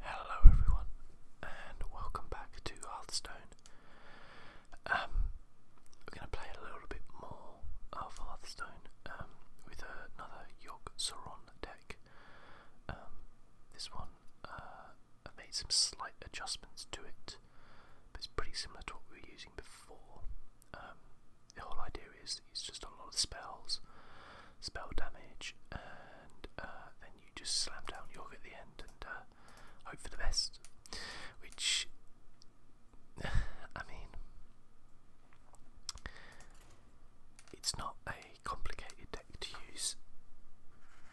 Hello everyone, and welcome back to Hearthstone. Um, we're going to play a little bit more of Hearthstone um, with another Yogg Saron deck. Um, this one, uh, I made some slight adjustments to it, but it's pretty similar to what we were using before. Um, the whole idea is it's just a lot of spells, spell damage, and uh, then you just slam down York at the end and uh, hope for the best. Which, I mean, it's not a complicated deck to use,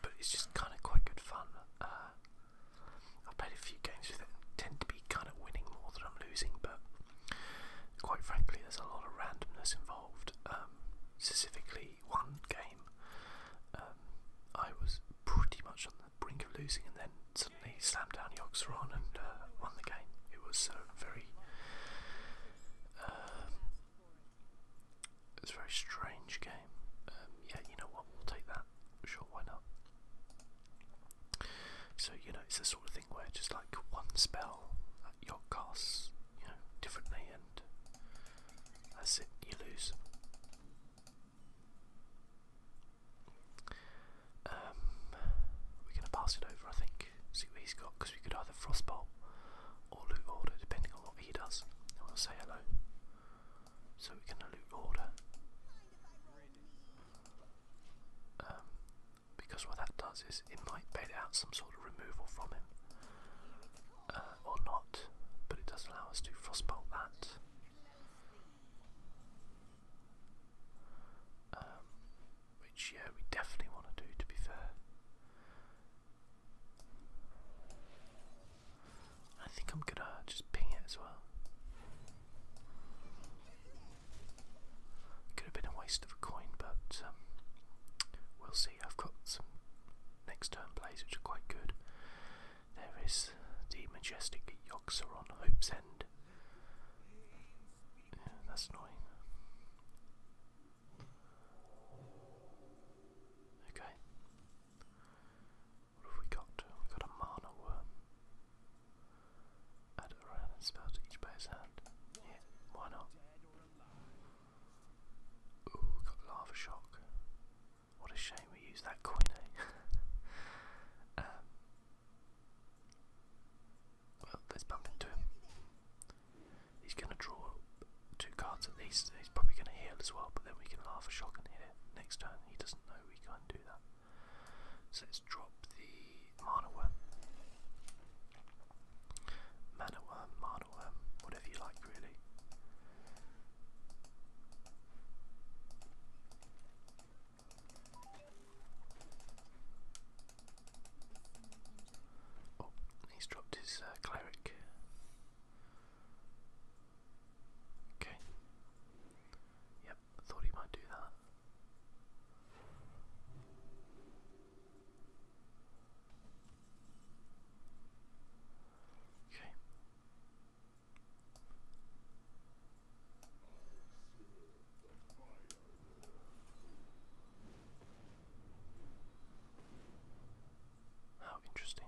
but it's just kind of quite good fun. Uh, I've played a few games with it and tend to be kind of winning more than I'm losing, but quite frankly, there's a lot of randomness involved involved, um, specifically one game. Um, I was pretty much on the brink of losing, and then suddenly slammed down Yoxeron and uh, won the game. It was uh, very, um, it was a very strange game. Um, yeah, you know what? We'll take that. Sure, why not? So you know, it's the sort of thing where just like one spell that Yok casts, you know, differently that's it, you lose. Um, we're going to pass it over, I think, see what he's got, because we could either Frostbolt or Loot Order, depending on what he does. And we'll say hello. So we're going to Loot Order. Um, because what that does is it might bait out some sort removal from him. Uh, or not, but it does allow us to frostbolt that. Um, which, yeah, we definitely want to do, to be fair. I think I'm gonna just ping it as well. Could have been a waste of a coin, but um, we'll see. I've got some next turn plays which are quite good. There is the majestic Yoxer on Hope's End. that's annoying. Okay. What have we got? We've got a mana worm. Add it around and spell to each player's hand. Yeah, why not? Ooh, got lava shock. What a shame we used that coin, eh? um, well, let's bump into him. He's going to draw two cards at least. He's probably going to heal as well, but then we can lava shock and hit it next turn. He doesn't know we can't do that. So let's drop the mana worm. Manaworm, Marnaworm, whatever you like really. Oh, he's dropped his uh, cleric. Okay. Yep, thought he might do that. Okay. How interesting. I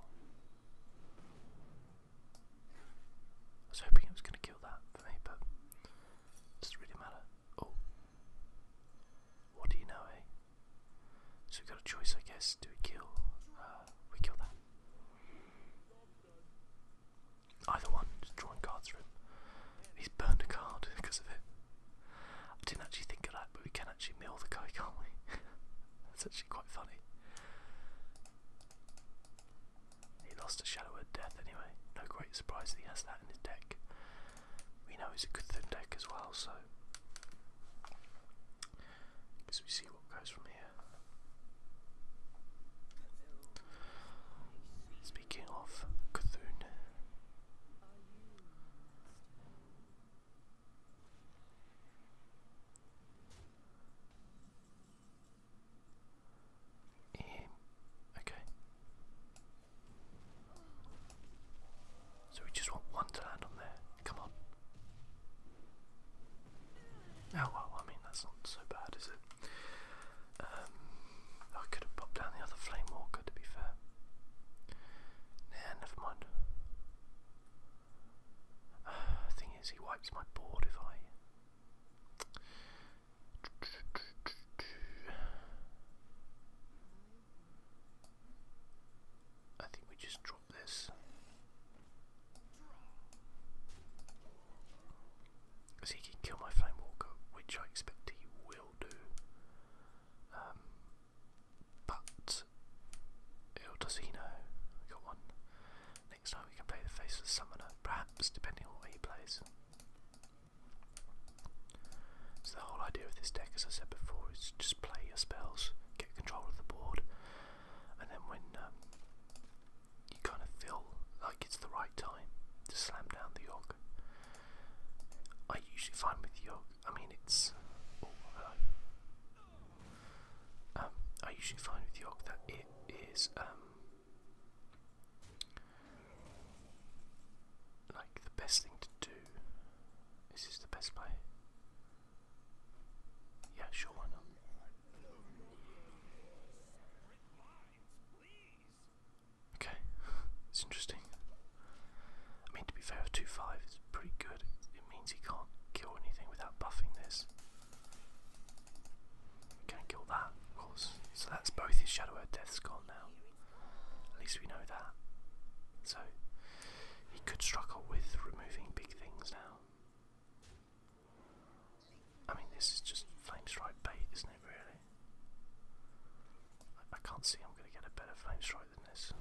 was hoping it was going to kill that for me, but doesn't really matter. Oh, what do you know, eh? So we've got a choice, I guess. Do we kill? Uh, we kill that. Either one, just drawing cards for him. He's burned a card because of it. I didn't actually think of that, but we can actually mill the guy, can't we? That's actually quite funny. He lost a Shadow of Death anyway. No great surprise that he has that in his deck we know he's a good thin deck as well, so because we see what goes from here. Speaking of Cthulhu, um, okay. So we just want one to land on there. Come on. Oh well, I mean that's not so bad, is it? Um, I could have popped down the other flame walker to be fair. Nah, never mind. Uh, thing is, he wipes my board if I. I think we just drop this. Because he can kill my Flame Walker, which I expect he will do. Um, but, oh, does he know? got one. Next time we can play the Faceless Summoner, perhaps, depending on where he plays. So the whole idea of this deck, as I said before, is just play your spells, get control of the board, and then when um, you kind of feel like it's the right time to slam down the Yogg. I usually find with Yogg, I mean it's... Oh, um, I usually find with Yogg that it is... Um, like the best thing to do this Is the best play? Yeah, sure, why not? Okay, it's interesting. I mean, to be fair, 2 5 is pretty good. It means he can't kill anything without buffing this. can't kill that, of course. So that's both his Shadow and Death's gone now. At least we know that. So he could struggle with removing big things now. I mean, this is just flame strike bait, isn't it? Really, I, can't see I'm going to get a better flame strike than this.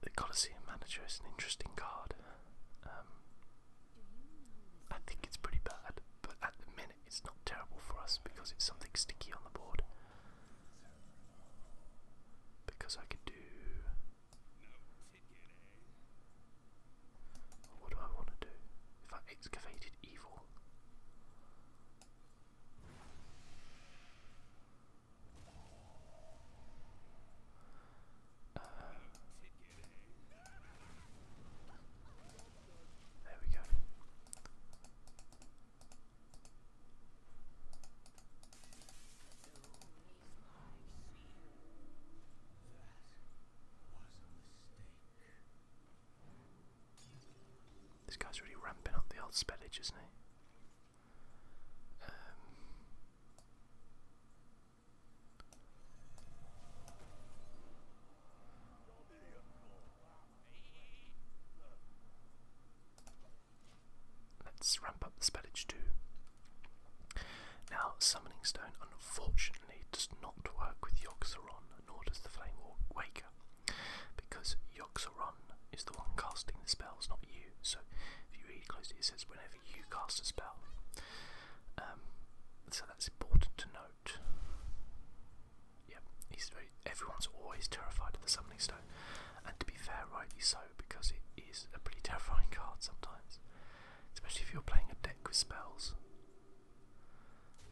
The Colosseum Manager is an interesting card. Um, I think it's pretty bad, but at the minute it's not terrible for us because it's something sticky on the board. Because I can do. What do I want to do? excavated evil. Uh, there we go. This guy's really ramping up the old spellage, isn't he? Um, Let's ramp up the spellage too. Now, Summoning Stone unfortunately does not work with yogg nor does the Flame Waker, because yogg is the one casting the spells, not you. So, if you read closely, it says whenever you cast a spell, um, so that's important to note. Yep, everyone's always terrified of the Summoning Stone, and to be fair, rightly so, because it is a pretty terrifying card sometimes, especially if you're playing a deck with spells.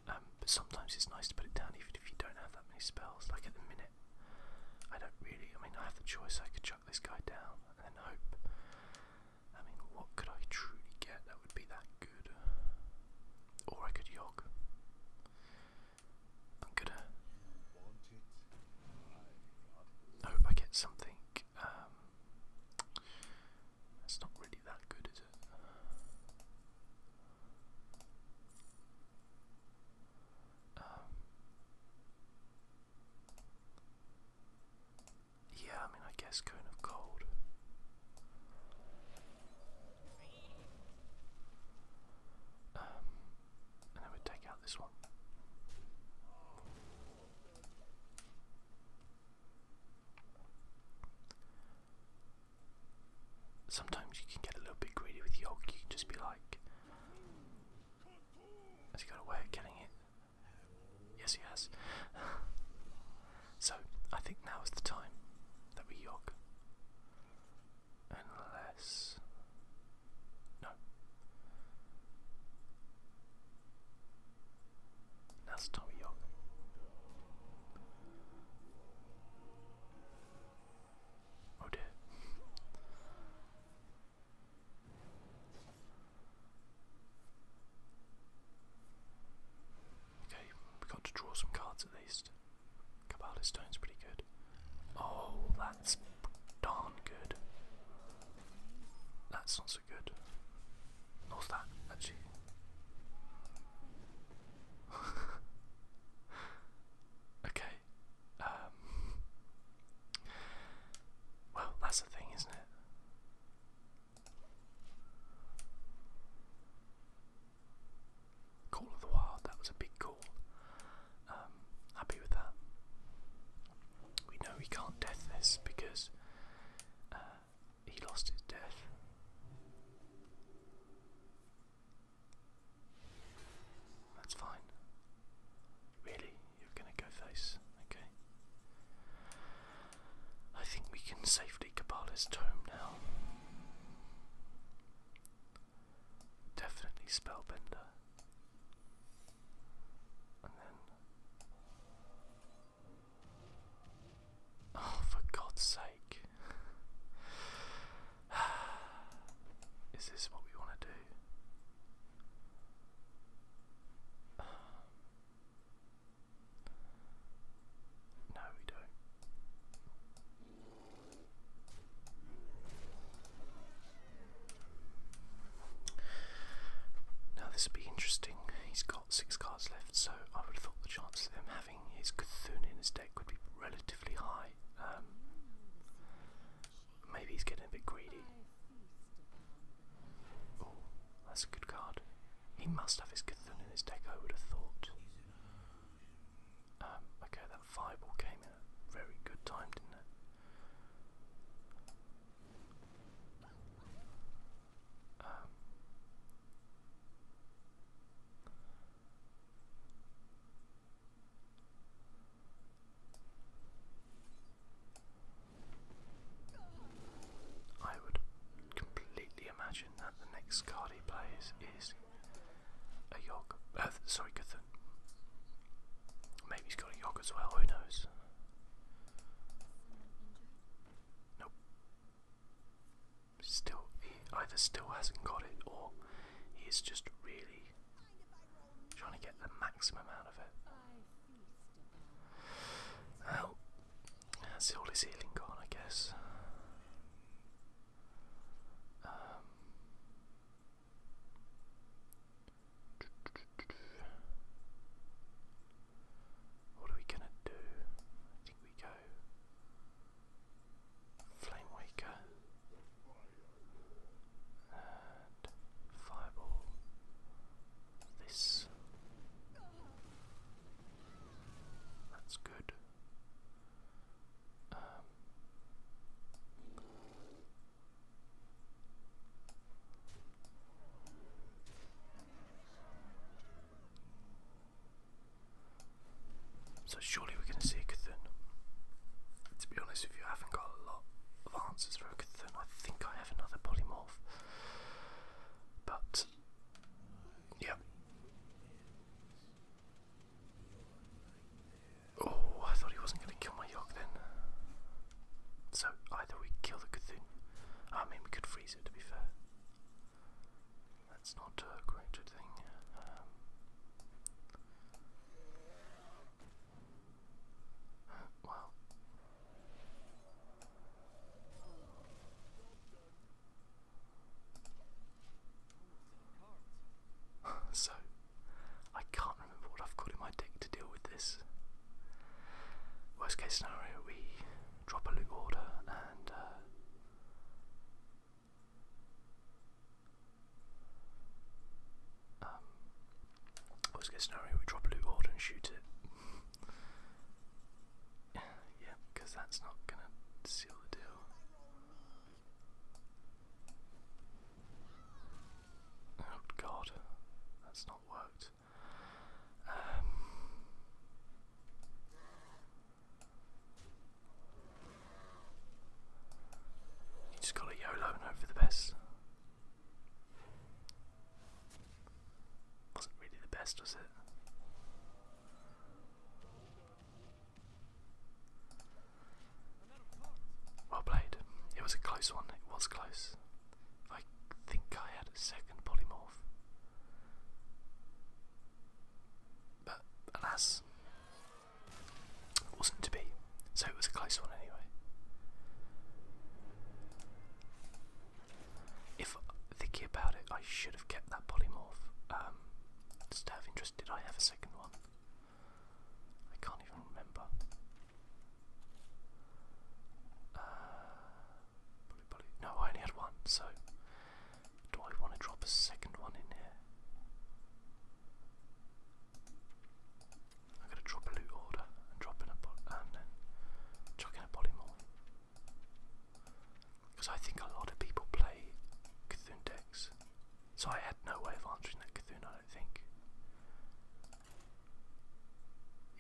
Um, but sometimes it's nice to put it down, even if you don't have that many spells. Like at the minute, I don't really. I mean, I have the choice. I could chuck this guy down and hope I mean, what could I truly get that would be that good? Or I could yog. I'm I hope I get something. Um, that's not really that good, yeah, I mean, I guess kind of Cold. Um, and then we take out this one. Sometimes you can get a little bit greedy with Yolk, you can just be like, has he got a getting it? Yes, he has. so, I think now is the time that we yoke, Unless. No. That's Tommy Young. Oh dear. Okay, we got to draw some cards at least. Kabbalah Stone's pretty good. Oh, that's darn good. That's not so good. North that, actually. okay. Um, well, that's the thing, isn't it? Call of the Wild, that was a big call. Um, happy with that. We know he can't death this because uh, he lost his death. That's fine. Really? you're going to go face. Okay. I think we can safely Kabbalah's Tome now. Definitely Spellbender. And then. Oh, for God's sake. Is this what we want to do? Um, no, we don't. Now this will be interesting. He's got six cards left, so I would have thought the chance of him having his Cthulhu in his deck would be relatively high. Um, maybe he's getting a bit greedy. Oh, that's a good card. He must have his Cthulhu in his deck, I would have thought. Um, okay, that fireball came in very good time, didn't it? Um, I would completely imagine that the next card he plays is a Yogg. Uh, sorry, Cthulhu. Maybe he's got a Yogg as well, who knows? Nope. Still, he either still hasn't got it or he is just really trying to get the maximum out of it. Well, uh, that's all his healing gone, I guess. Um, what are we gonna do? I think we go Flame Waker Fireball this. That's good. Um, so surely we're going to see Cthulhu. To be honest, if you haven't got a lot of answers for Cthulhu, I think I have another polymorph. But yep. Oh, I thought he wasn't going to kill my York then. So either we kill the Cthulhu. I mean, we could freeze it to be fair. That's not a great thing. Um, wow. so, I can't remember what I've got in my deck to deal with this. Worst case scenario, we drop a loot order and. Uh, um, worst case scenario, we drop a loot order and shoot it yeah, because that's not going to seal the deal. Oh god, that's not worked. Um, you just gotta YOLO and hope for the best. Wasn't really the best, was it? Well played. It was a close one, it was close. I think I had a second polymorph. But alas, it wasn't to be. So it was a close one anyway. If thinking about it, I should have kept that polymorph. Um, just out of interest, did I have a second one? I can't even remember. Uh, no, I only had one, so do I want to drop a second one in here? I'm gonna drop a loot order drop in a and then chuck in a polymorph. Because I think a lot of people play Cthulhu decks. So I had no way of answering that Cthulhu, I don't think.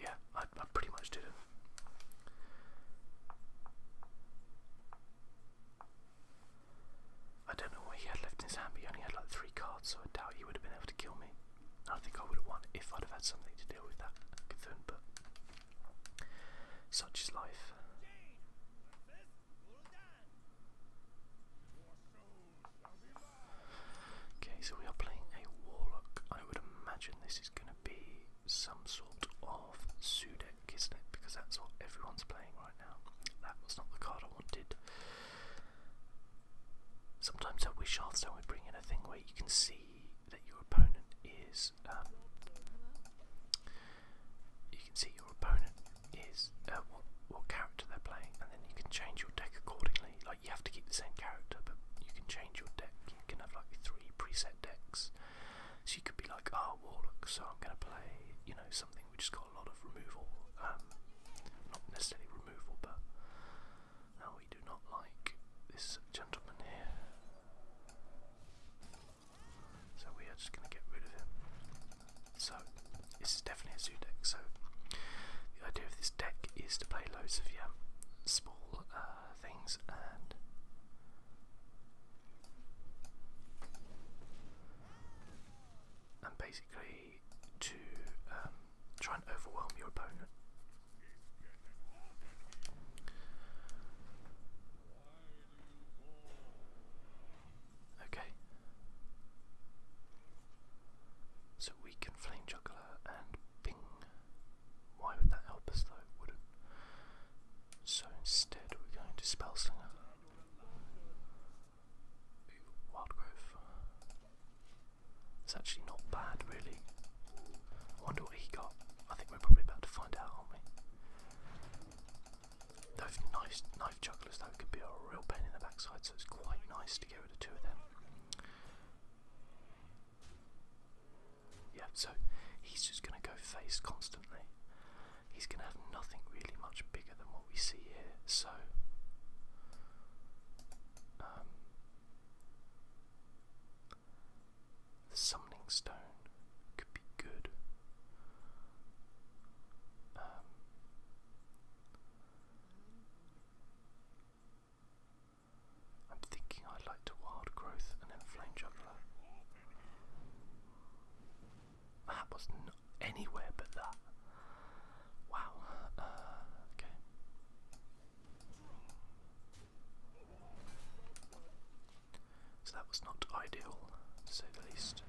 Yeah, I, I pretty much didn't. I don't know what he had left in his hand, but he only had like three cards, so I doubt he would have been able to kill me. I think I would have won if I'd have had something to deal with that Cthulhu, but such is life. Okay, so we are playing a warlock. I would imagine this is going to be some sort of Sudeck, isn't it? Because that's what everyone's playing right now. That was not the card I wanted. Sometimes I wish Hearthstone would bring in a thing where you can see that your opponent is. Um, you can see your opponent is uh, what, what character they're playing, and then you can change your deck accordingly. Like you have to keep the same character, but you can change your deck. You can have like three preset decks, so you could be like, "Oh, Warlock, so I'm going to play, you know, something which has got a lot of removal. Um, not necessarily removal, but now we do not like this gentleman here. So we are just going to get rid of him. So, this is definitely a zoo deck. So, the idea of this deck is to play loads of yeah, small uh, things and. And basically to um, Try and overwhelm your opponent. Okay. So we can flame juggler and ping. Why would that help us though? wouldn't. So instead we're going to spellslinger. Wildgrove. It's actually not bad, really. I wonder what he got. I think we're probably about to find out, aren't Those nice knife jugglers, though, could be a real pain in the backside, so it's quite nice to get rid of two of them. Yeah, so he's just going to go face constantly. He's going to have nothing really much bigger than what we see here, so. Um, the summoning stone could be good. Um, I'm thinking I'd like to wild growth and then flame juggler. That was not anywhere but that. Wow. Uh, okay. So that was not ideal, to say the least.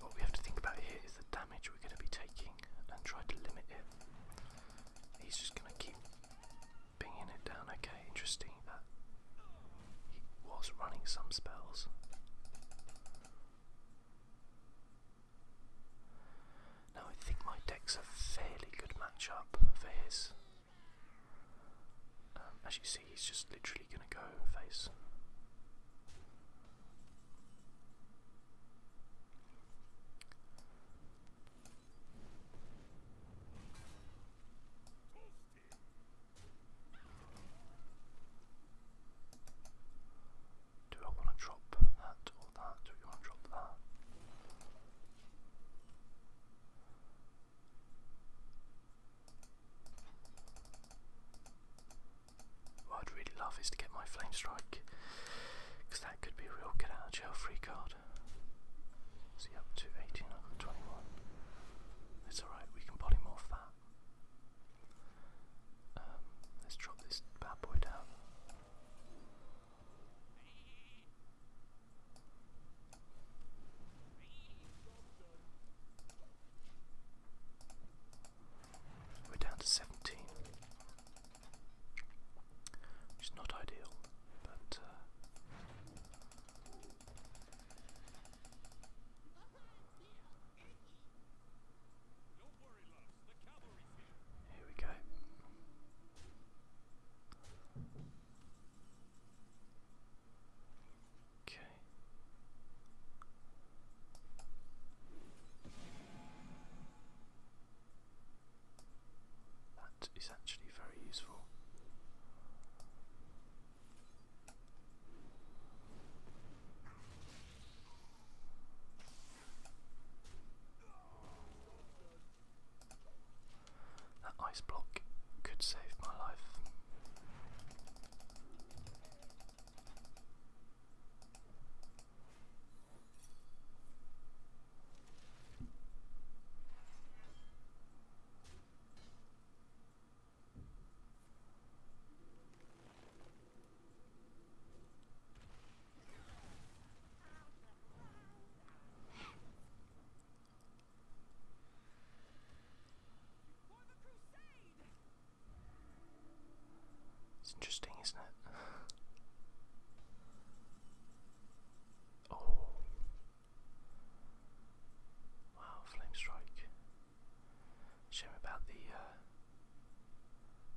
What we have to think about here is the damage we're going to be taking and try to limit it. He's just going to keep binging it down. Okay, interesting that he was running some spells. Now I think my deck's a fairly good matchup for his. Um, as you see, he's just literally going to go face. Do I want to drop that or that? Do you want to drop that? What I'd really love is to get my Flame Strike, because that could be real get out of jail free card. See, up to 18, It's alright, we can polymorph that. Um, let's drop this bad boy down. We're down to 17, which not ideal, but. Uh, here we go. Okay. That is actually very useful. That ice block could save my life. It's interesting, isn't it? oh. Wow, flame strike. Shame about the uh,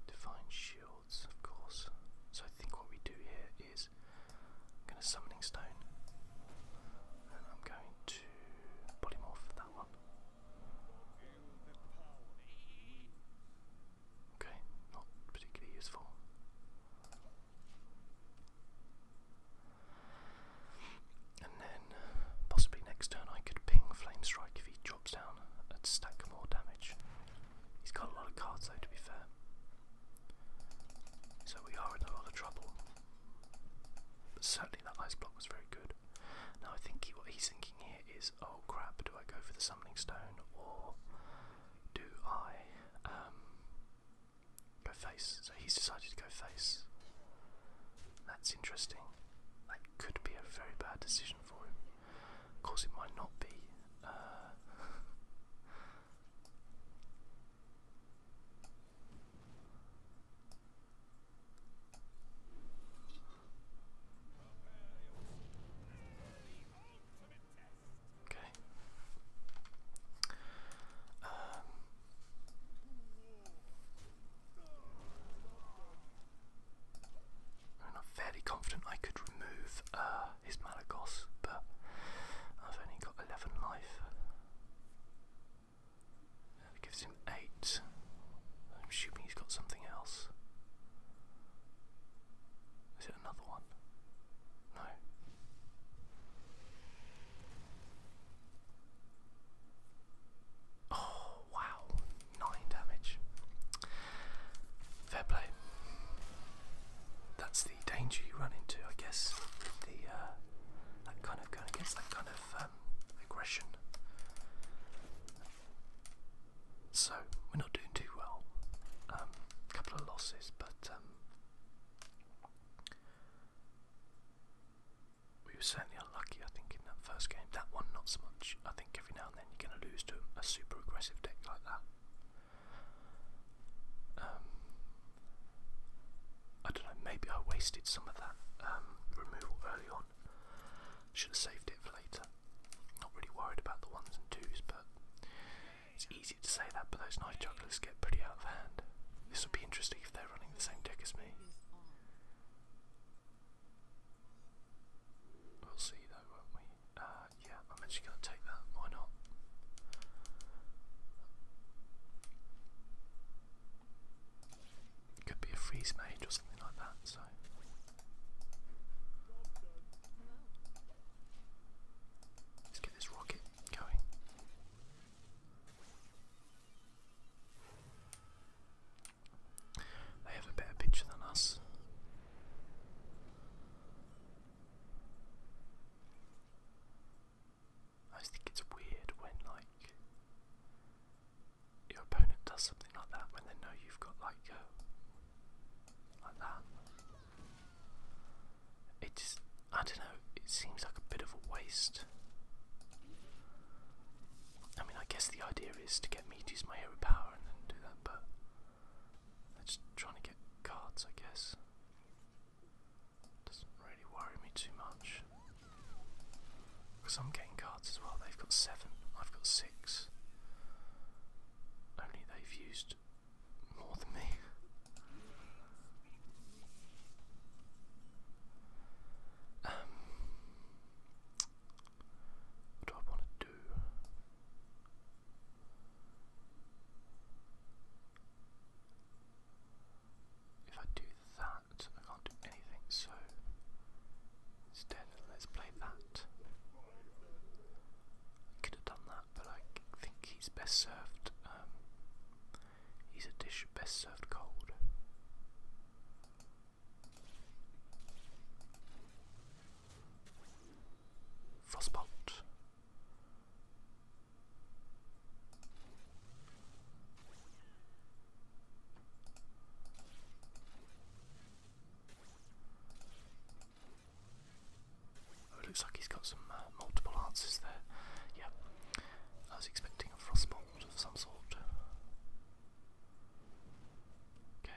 Divine shields, of course. So I think what we do here is I'm going to summoning stone, and I'm going to polymorph that one. Okay, not particularly useful. And then possibly next turn I could ping Flame Strike if he drops down and stack more damage. He's got a lot of cards though, to be fair. So we are in a lot of trouble. But certainly that ice block was very good. Now I think what he's thinking here is, oh crap, do I go for the summoning stone or do I um, go face? So he's decided to go face. That's interesting. That could be a very bad decision for him. Of course, it might not be. Uh, okay. Um, I'm not fairly confident I could remove uh, his Malagos, but I've only got 11 life. That gives him 8. I'm assuming he's got something else. Is it another one? No. Oh, wow. 9 damage. Fair play. That's the danger you run into, I guess. The uh, that kind of going against that kind of um, aggression. So we're not doing too well. A um, couple of losses, but um, we were certainly unlucky. I think in that first game, that one not so much. I think every now and then you're going to lose to a super aggressive deck like that. Um, I don't know, maybe I wasted some of that um, removal early on. Should have saved it for later. Not really worried about the ones and twos, but it's easy to say that, but those night jugglers get pretty out of hand. This would be interesting if they're running the same deck as me. We'll see though, won't we? Uh, yeah, I'm actually going to take that. Why not? Could be a freeze mage or something like that. So. Let's get this rocket going. They have a better picture than us. I just think it's weird when like your opponent does something like that when they know you've got like like that. It I don't know, it seems like a bit of a waste. I mean I guess the idea is to get me to use my hero power and then do that, but they're just trying to get cards, I guess. Doesn't really worry me too much. Because I'm getting cards as well. They've got seven, I've got six. Only they've used more than me. Um, what do I want to do? If I do that, I can't do anything, so instead let's play that. I could have done that, but I think he's best served, um, he's a dish best served cold. Frostbolt. Oh, looks like he's got some uh, multiple answers there. Yeah, I was expecting a frostbolt of some sort. Okay.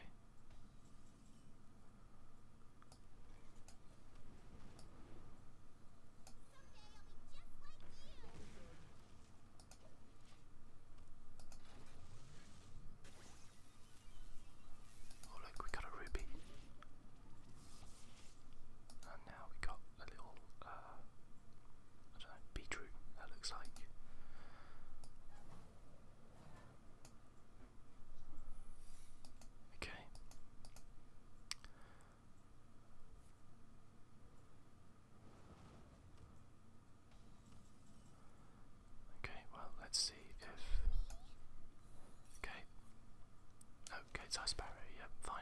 Oh look, we got a ruby. And now we got a little uh, I don't know, beetroot that looks like. Okay. Okay, well, let's see if. Okay. Okay, it's Ice Barrier, yeah, fine.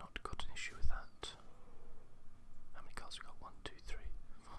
Not got an issue with that. How many cards we got? One, two, three, four.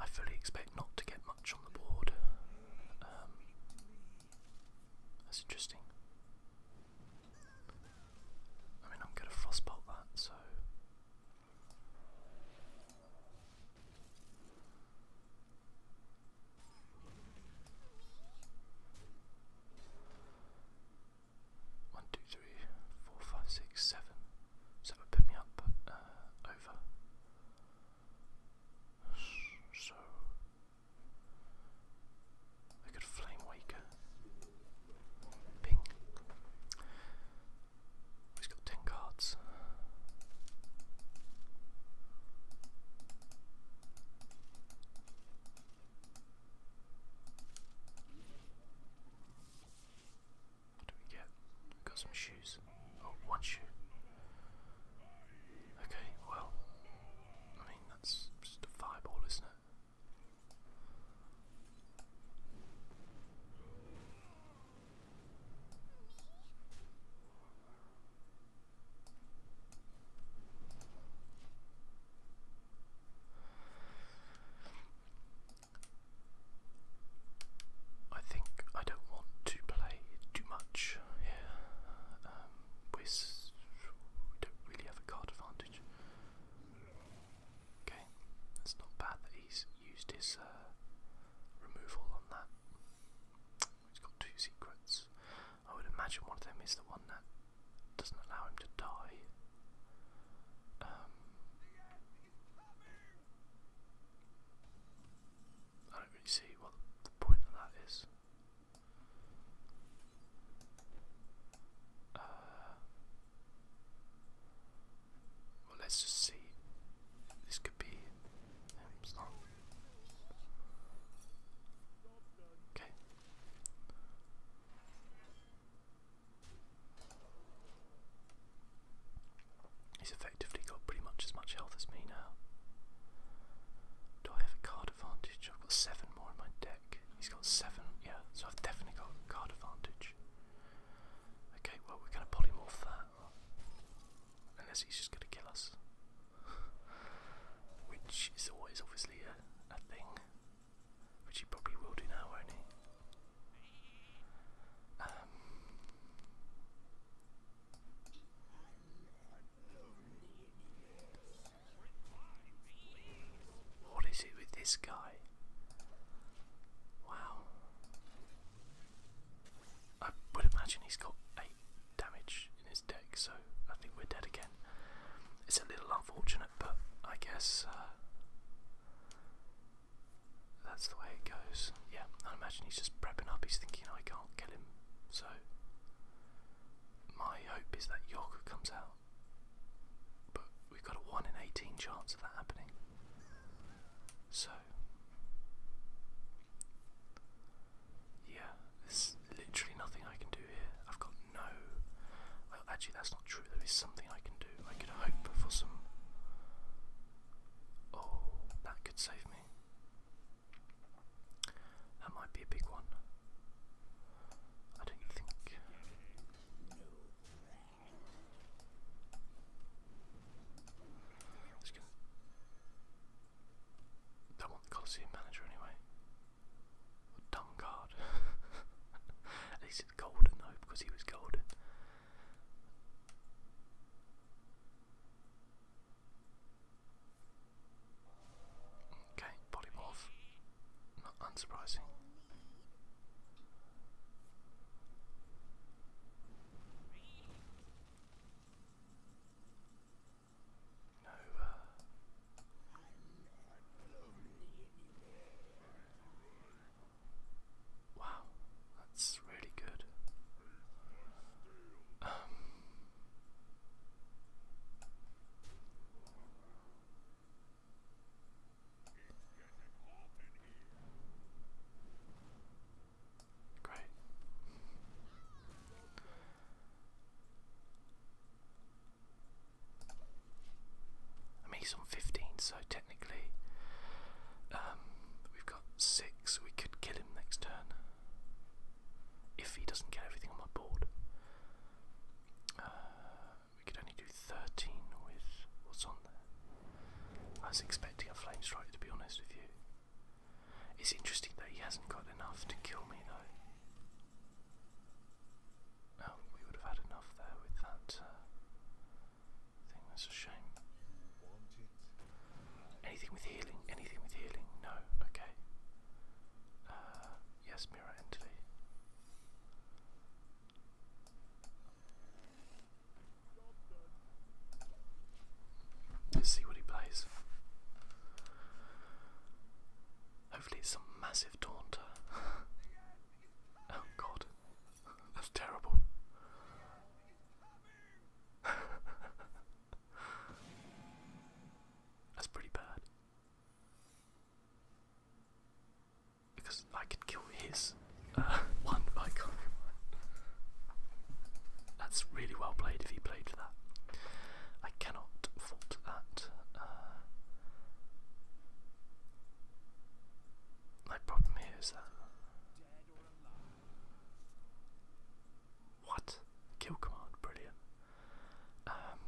I fully expect not to get much on the board. Um, that's interesting. I mean, I'm going to frostbolt that, so. One, two, three, four, five, six, seven. So it would put me up uh, over. So I could flame waker. Ping. He's got ten cards. What do we get? got some shoes. Oh, one shoe. Okay, well, I mean, that's just a fireball, isn't it? I think I don't want to play too much here. Um, we don't really have a card advantage. Okay, it's not bad that he's used his uh, removal on that. He's got two secrets. I would imagine one of them is the one that doesn't allow him to die. Um, I don't really see what the point of that is. Uh, well, let's just see. This could be him. Um, okay, He's effectively got pretty much as much health as me now. Do I have a card advantage? I've got seven more in my deck. He's got seven, yeah, so I've definitely got card advantage. Okay, well, we're going to polymorph that. Unless he's just going to kill us which is always obviously a, a thing, which he probably will do now, won't he? Um, what is it with this guy? Wow. I would imagine he's got 8 damage in his deck, so I think we're dead again. It's a little unfortunate, but I guess uh, that's the way it goes. Yeah, I imagine he's just prepping up. He's thinking I can't kill him, so my hope is that York comes out, but we've got a one in eighteen chance of that happening. So yeah, there's literally nothing I can do here. I've got no. Well, actually, that's not true. There is something I can do. I could hope for some. Oh, that could save me. That might be a big one. I don't think. It's gonna. I want the Coliseum manager anyway. What At least it's golden though, because he was golden. Okay, polymorph. Not unsurprising. No. wow, that's really good. Um, great. I mean, he's on 15, so technically um, we've got 6. We could kill him next turn if he doesn't get everything on my board. Uh, we could only do 13 with what's on there. I was expecting a flame strike, to be honest with you. It's interesting that he hasn't got enough to kill me, though. Oh, we would have had enough there with that uh, thing. That's a shame. Anything with healing? Anything with healing? No. Okay. Uh, yes, mirror entity. Let's see what he plays. Hopefully, it's some massive taunter. oh god, that's terrible. that's pretty bad. Because I could kill his uh, one, but That's really well played if he played for that. I cannot fault that. Uh, my problem here is that. What? Kill command, brilliant. Um,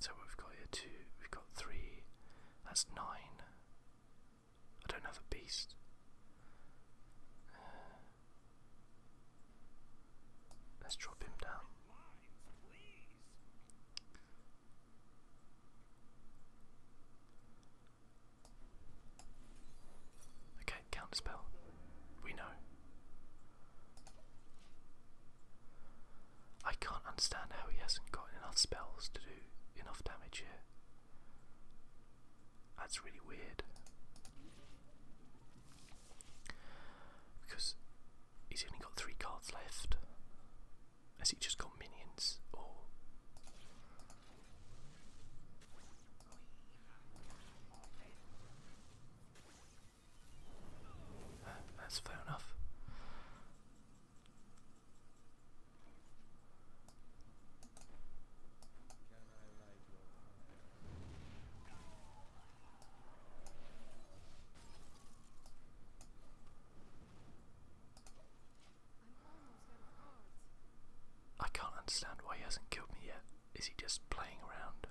so we've got here two, we've got three, that's nine. I don't have a beast. Uh, Let's drop him down. Okay, counter spell. We know. I can't understand how he hasn't got enough spells to do enough damage here. That's really weird. Because He's only got three cards left. Has he just got minions or uh, that's fair enough. I can't understand why he hasn't killed me yet. Is he just playing around?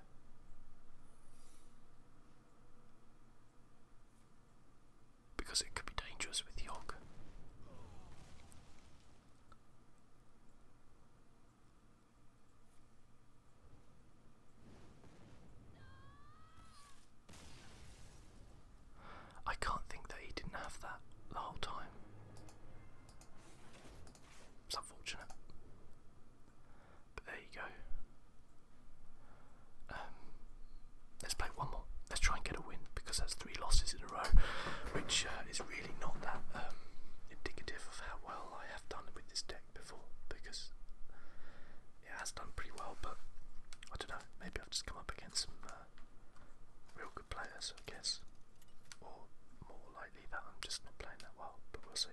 Because it could be dangerous with Yogg. I can't think that he didn't have that the whole time. It's unfortunate. But there you go. Um, let's play one more. Let's try and get a win because that's three losses in a row, which uh, is really not that um, indicative of how well I have done with this deck before because it has done pretty well, but I don't know, maybe I've just come up against some uh, real good players, I guess, or more likely that I'm just not playing that well, but we'll see.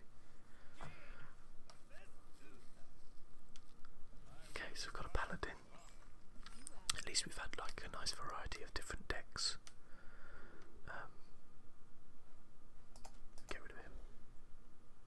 Okay, so we've got a paladin. At least we've had like a nice variety of different decks. Um, get rid of him.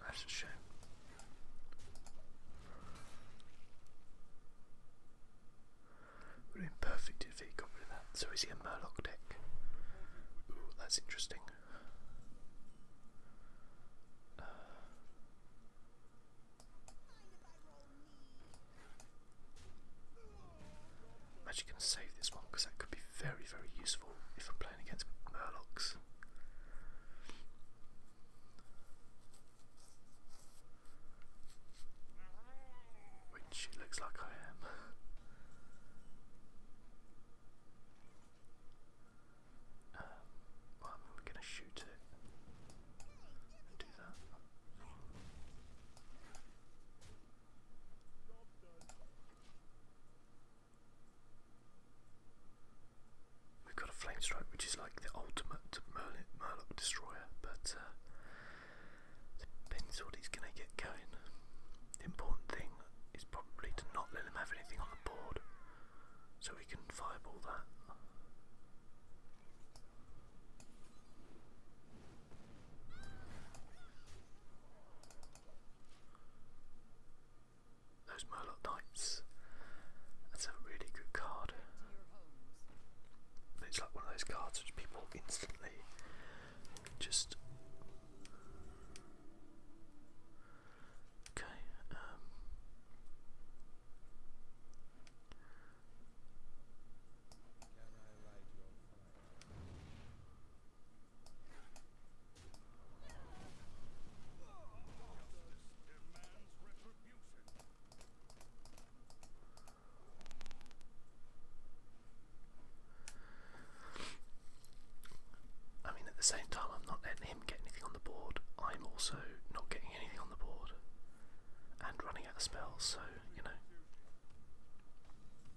That's a shame. Would have been if he got rid that. So is he a Murloc deck? Ooh, that's interesting. Uh, I'm actually going to save this one because that could be very, very useful if I'm playing against Murlocs. Which it looks like I am. Um, well, going to shoot it. We've got a flame strike, which is like the ultimate Merlin Murloc destroyer, but uh, depends what he's going to get going. The important thing is probably to not let him have anything on the board, so we can all that. Those Murloc Knights. That's a really good card. It's like one of those cards which people instantly just. Okay, um, I mean, at the same time, I'm not letting him get anything on the board. I'm also not getting anything on the board and running out of spells, so, you know.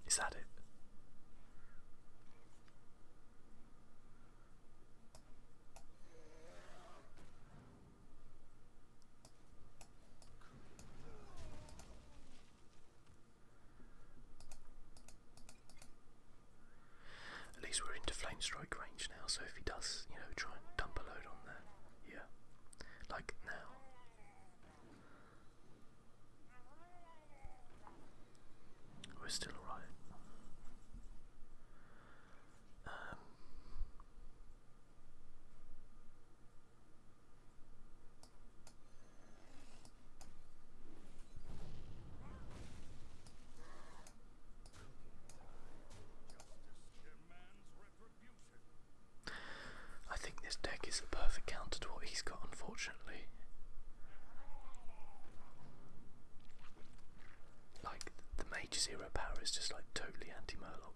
Is that it? At least we're into flame strike range now, so if he does, you know, try and dump a load on there, yeah. Like now. We're still alright. Um, I think this deck is a perfect counter to what he's got, unfortunately. Like, the Mage Zero power is just like totally anti Murloc.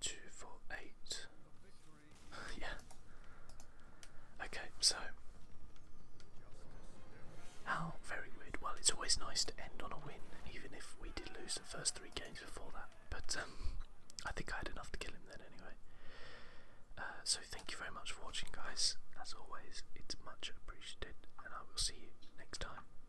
Two, four, eight. yeah. Okay, so. How very weird. Well, it's always nice to end on a win, even if we did lose the first three games before that. But um, I think I had enough to kill him then anyway. Uh, so thank you very much for watching, guys. As always, it's much appreciated, and I will see you next time.